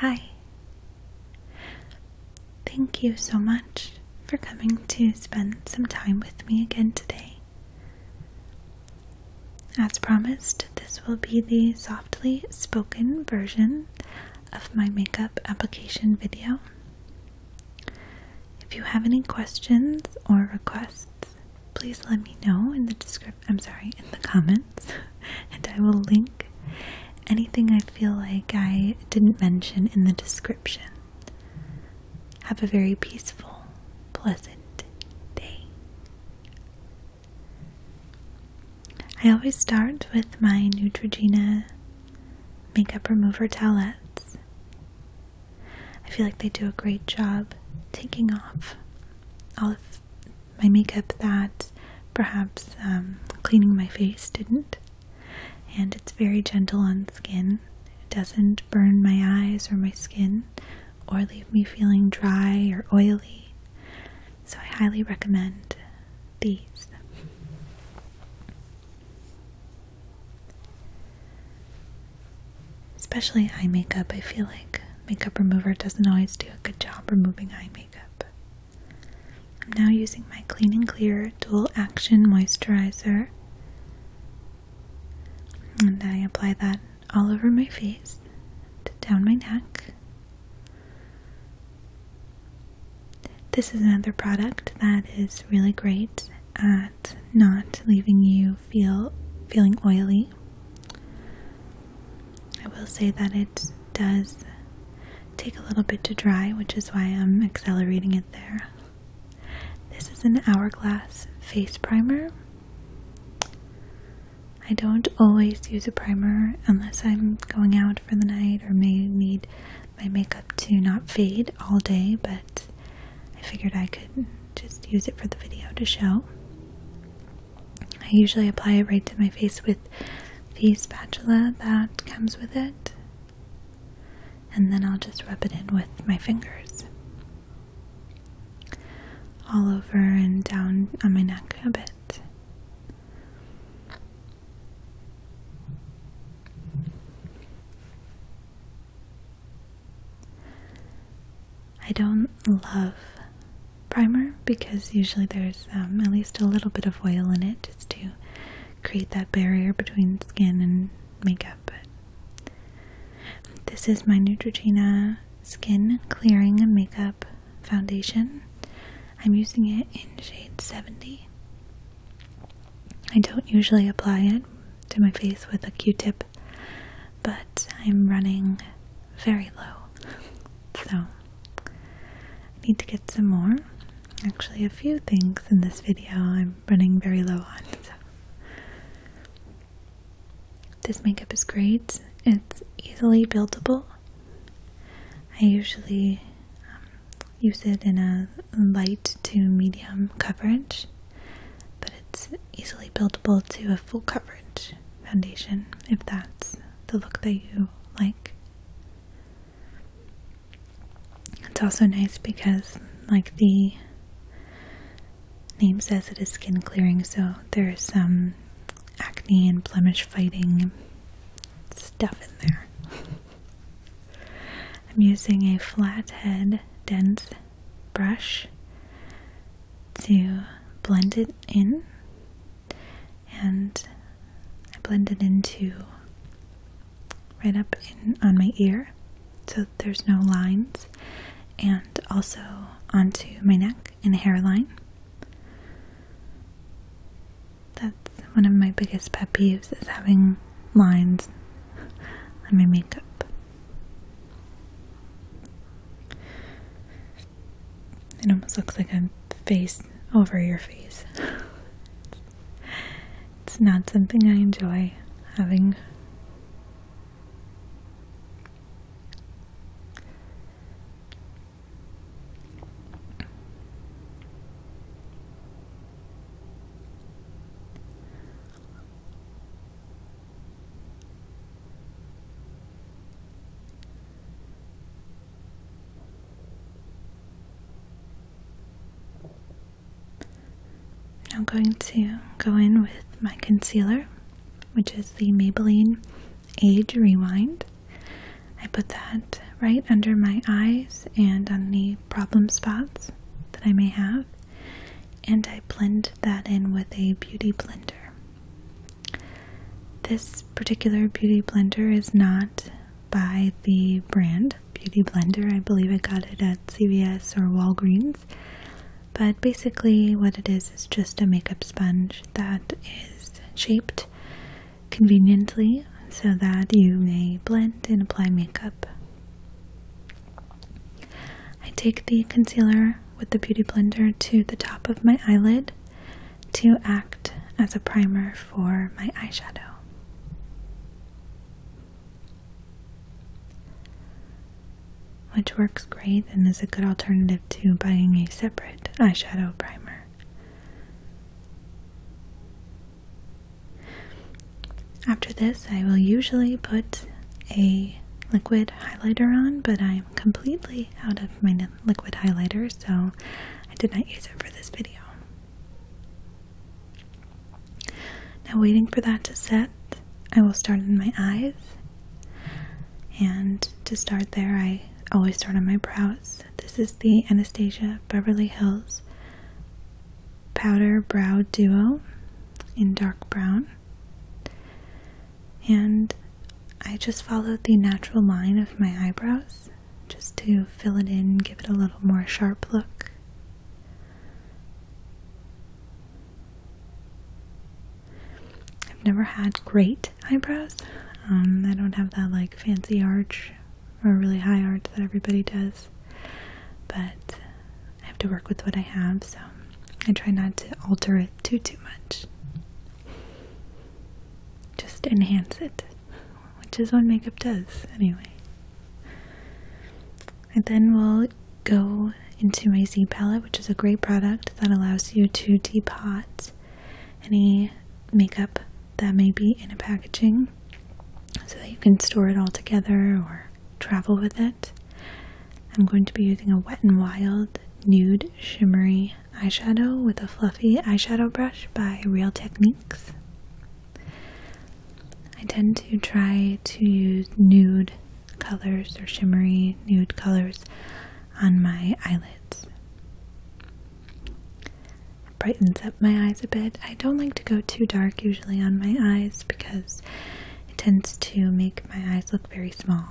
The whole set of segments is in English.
Hi. Thank you so much for coming to spend some time with me again today. As promised, this will be the softly spoken version of my makeup application video. If you have any questions or requests, please let me know in the description. I'm sorry, in the comments, and I will link anything I feel like I didn't mention in the description. Have a very peaceful, pleasant day. I always start with my Neutrogena makeup remover towelettes. I feel like they do a great job taking off all of my makeup that perhaps um, cleaning my face didn't. And it's very gentle on skin. It doesn't burn my eyes or my skin or leave me feeling dry or oily. So I highly recommend these. Especially eye makeup, I feel like makeup remover doesn't always do a good job removing eye makeup. I'm now using my Clean and Clear Dual Action Moisturizer, and I apply that all over my face, down my neck, this is another product that is really great at not leaving you feel feeling oily. I will say that it does take a little bit to dry, which is why I'm accelerating it there. This is an Hourglass face primer. I don't always use a primer unless I'm going out for the night or may need my makeup to not fade all day, but I figured I could just use it for the video to show. I usually apply it right to my face with the spatula that comes with it, and then I'll just rub it in with my fingers all over and down on my neck a bit. I don't love primer because usually there's um, at least a little bit of oil in it just to create that barrier between skin and makeup. But this is my Neutrogena Skin Clearing and Makeup Foundation. I'm using it in shade 70. I don't usually apply it to my face with a q-tip, but I'm running very low, so I need to get some more. Actually, a few things in this video I'm running very low on. This makeup is great. It's easily buildable. I usually um, use it in a light to medium coverage, but it's easily buildable to a full coverage foundation if that's the look that you like. It's also nice because, like the name says, it is skin clearing, so there's some acne and blemish fighting stuff in there. I'm using a flathead dense brush to blend it in, and I blend it into right up on my ear so there's no lines, and also onto my neck and hairline. That's one of my biggest pet peeves is having lines on my makeup. It almost looks like I'm face over your face. it's not something I enjoy having. I'm going to go in with my concealer, which is the Maybelline Age Rewind. I put that right under my eyes and on the problem spots that I may have, and I blend that in with a beauty blender. This particular beauty blender is not by the brand Beauty Blender. I believe I got it at CVS or Walgreens. But basically, what it is is just a makeup sponge that is shaped conveniently so that you may blend and apply makeup. I take the concealer with the Beauty Blender to the top of my eyelid to act as a primer for my eyeshadow. Which works great and is a good alternative to buying a separate eyeshadow primer. After this, I will usually put a liquid highlighter on, but I'm completely out of my liquid highlighter, so I did not use it for this video. Now, waiting for that to set, I will start in my eyes. And to start there, I always start on my brows this is the Anastasia Beverly Hills Powder Brow Duo in dark brown. And I just followed the natural line of my eyebrows just to fill it in, give it a little more sharp look. I've never had great eyebrows. Um, I don't have that like fancy arch or really high arch that everybody does, but I have to work with what I have, so I try not to alter it too too much. Just enhance it, which is what makeup does anyway. And then we'll go into my Z palette, which is a great product that allows you to depot any makeup that may be in a packaging so that you can store it all together or travel with it. I'm going to be using a Wet n Wild Nude Shimmery Eyeshadow with a fluffy eyeshadow brush by Real Techniques. I tend to try to use nude colors or shimmery nude colors on my eyelids. brightens up my eyes a bit. I don't like to go too dark usually on my eyes because it tends to make my eyes look very small.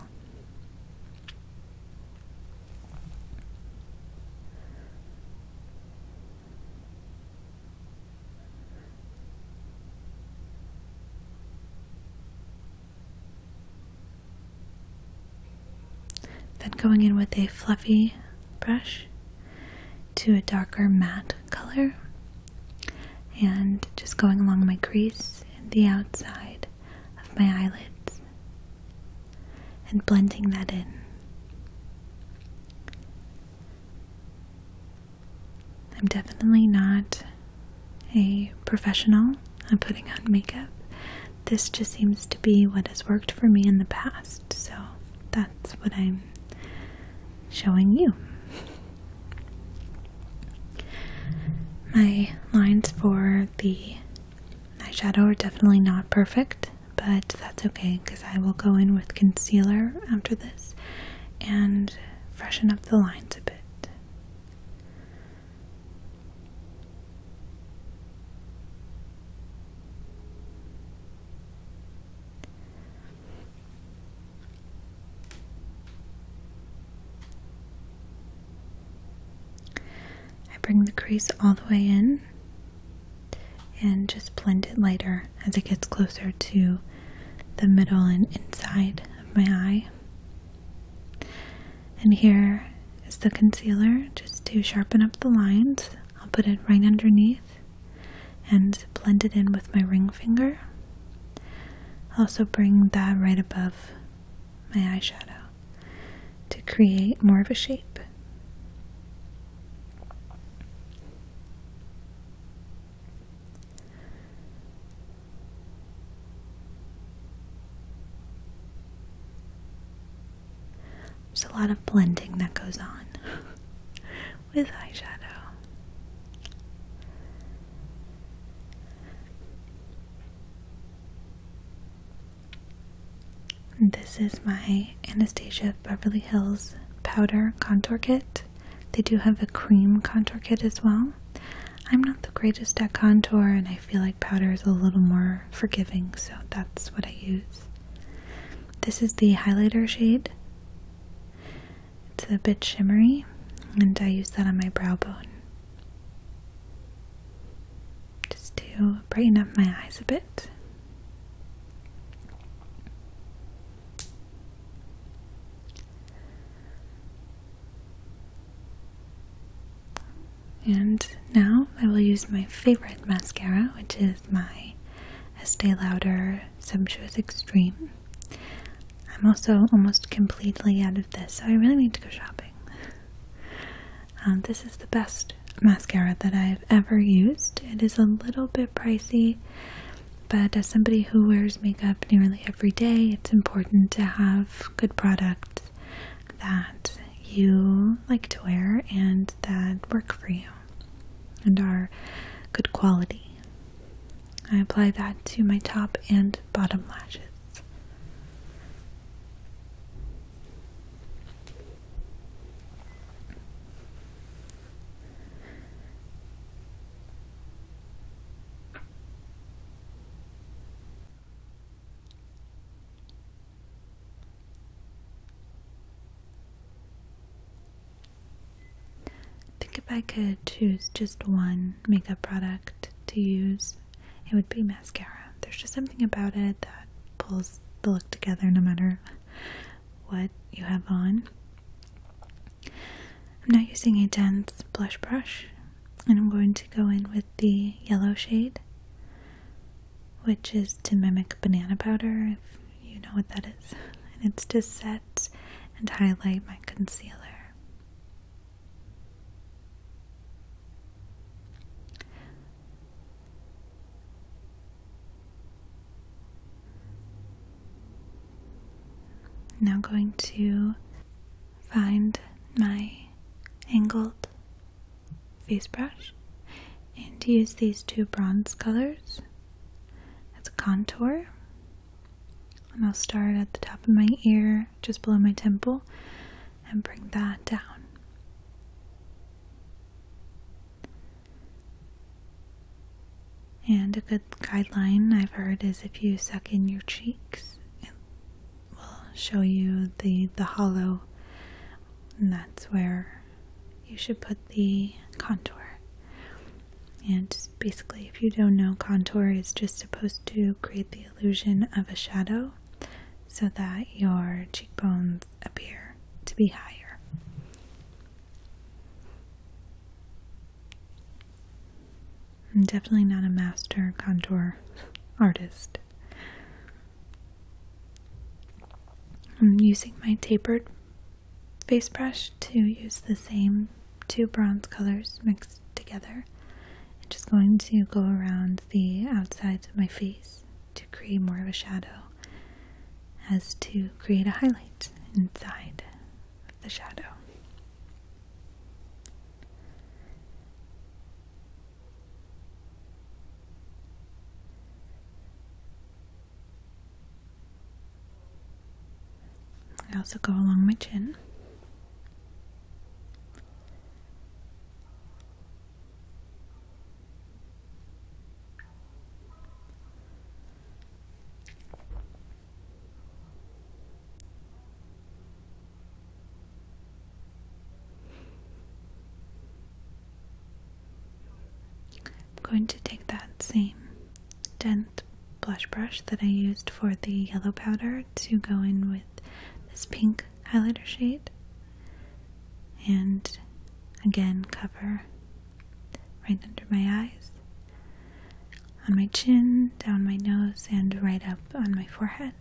Then going in with a fluffy brush to a darker matte color and just going along my crease and the outside of my eyelids and blending that in. I'm definitely not a professional I'm putting on makeup this just seems to be what has worked for me in the past, so that's what I'm showing you. My lines for the eyeshadow are definitely not perfect, but that's okay because I will go in with concealer after this and freshen up the lines a bit. I bring the crease all the way in and just blend it lighter as it gets closer to the middle and inside of my eye. And here is the concealer just to sharpen up the lines. I'll put it right underneath and blend it in with my ring finger. also bring that right above my eyeshadow to create more of a shape. There's a lot of blending that goes on with eyeshadow. this is my Anastasia Beverly Hills powder contour kit. They do have a cream contour kit as well. I'm not the greatest at contour, and I feel like powder is a little more forgiving, so that's what I use. This is the highlighter shade. It's a bit shimmery, and I use that on my brow bone just to brighten up my eyes a bit. And now I will use my favorite mascara, which is my Estee Lauder Sumptuous Extreme. I'm also almost completely out of this, so I really need to go shopping. Um, this is the best mascara that I've ever used. It is a little bit pricey, but as somebody who wears makeup nearly every day, it's important to have good product that you like to wear and that work for you and are good quality. I apply that to my top and bottom lashes think if I could choose just one makeup product to use, it would be mascara. There's just something about it that pulls the look together no matter what you have on. I'm not using a dense blush brush and I'm going to go in with the yellow shade, which is to mimic banana powder, if you know what that is. And it's to set and highlight my concealer. Now going to find my angled face brush and use these two bronze colors as a contour. And I'll start at the top of my ear, just below my temple, and bring that down. And a good guideline I've heard is if you suck in your cheeks it will show you the the hollow and that's where you should put the contour and basically if you don't know contour is just supposed to create the illusion of a shadow so that your cheekbones appear to be higher I'm definitely not a master contour artist. I'm using my tapered face brush to use the same two bronze colors mixed together. I'm just going to go around the outside of my face to create more of a shadow as to create a highlight inside the shadow. I also go along my chin. I'm going to take that same dense blush brush that I used for the yellow powder to go in with this pink highlighter shade and again cover right under my eyes on my chin, down my nose, and right up on my forehead.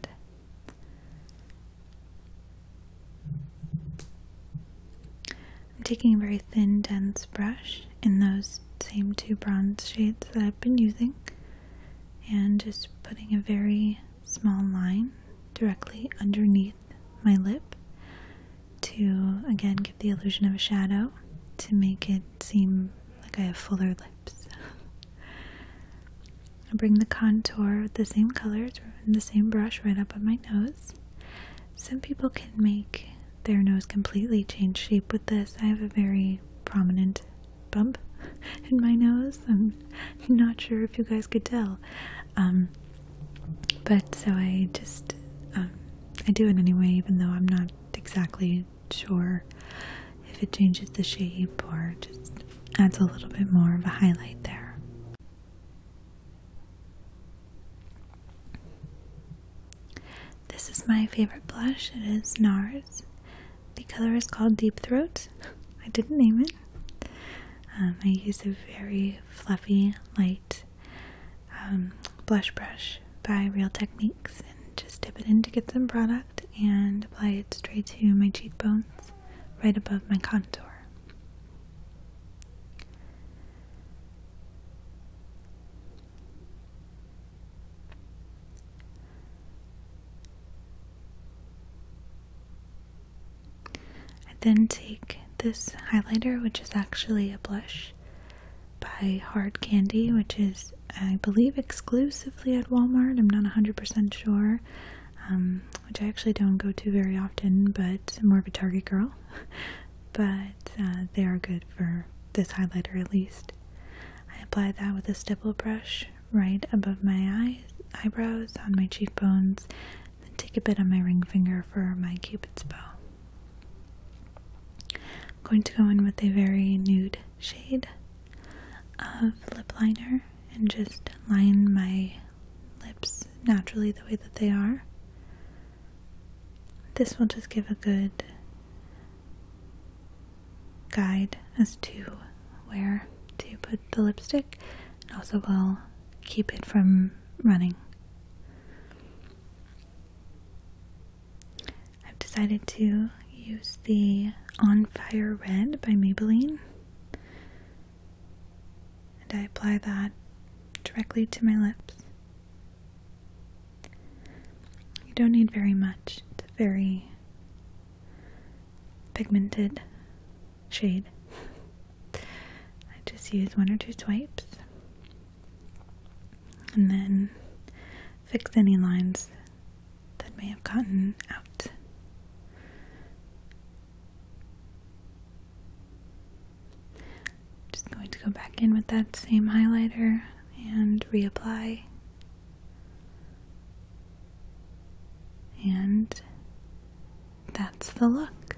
I'm taking a very thin, dense brush in those same two bronze shades that I've been using and just putting a very small line directly underneath my lip to again give the illusion of a shadow to make it seem like I have fuller lips. I bring the contour with the same colors the same brush right up on my nose. Some people can make their nose completely change shape with this. I have a very prominent bump in my nose. I'm not sure if you guys could tell. Um, but so I just, um, I do it anyway, even though I'm not exactly Sure, if it changes the shape or just adds a little bit more of a highlight there. This is my favorite blush. It is NARS. The color is called Deep Throat. I didn't name it. Um, I use a very fluffy, light um, blush brush by Real Techniques and just dip it in to get some product and apply it straight to my cheekbones right above my contour. I then take this highlighter, which is actually a blush, by Hard Candy, which is, I believe, exclusively at Walmart. I'm not 100% sure, um, which I actually don't go to very often, but more of a Target girl. but uh, they are good for this highlighter at least. I apply that with a stipple brush right above my eyes, eyebrows, on my cheekbones, Then take a bit on my ring finger for my cupid's bow. I'm going to go in with a very nude shade of lip liner and just line my lips naturally the way that they are. This will just give a good guide as to where to put the lipstick and also will keep it from running. I've decided to use the On Fire Red by Maybelline. And I apply that directly to my lips. You don't need very much. It's a very pigmented shade. I just use one or two swipes and then fix any lines that may have gotten out. Just going to go back in with that same highlighter and reapply and that's the look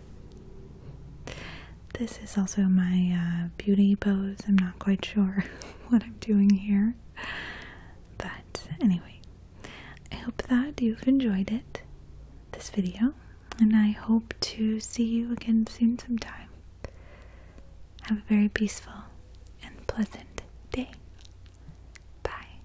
this is also my uh, beauty pose. I'm not quite sure what I'm doing here. But anyway, I hope that you've enjoyed it, this video, and I hope to see you again soon sometime. Have a very peaceful and pleasant day. Bye.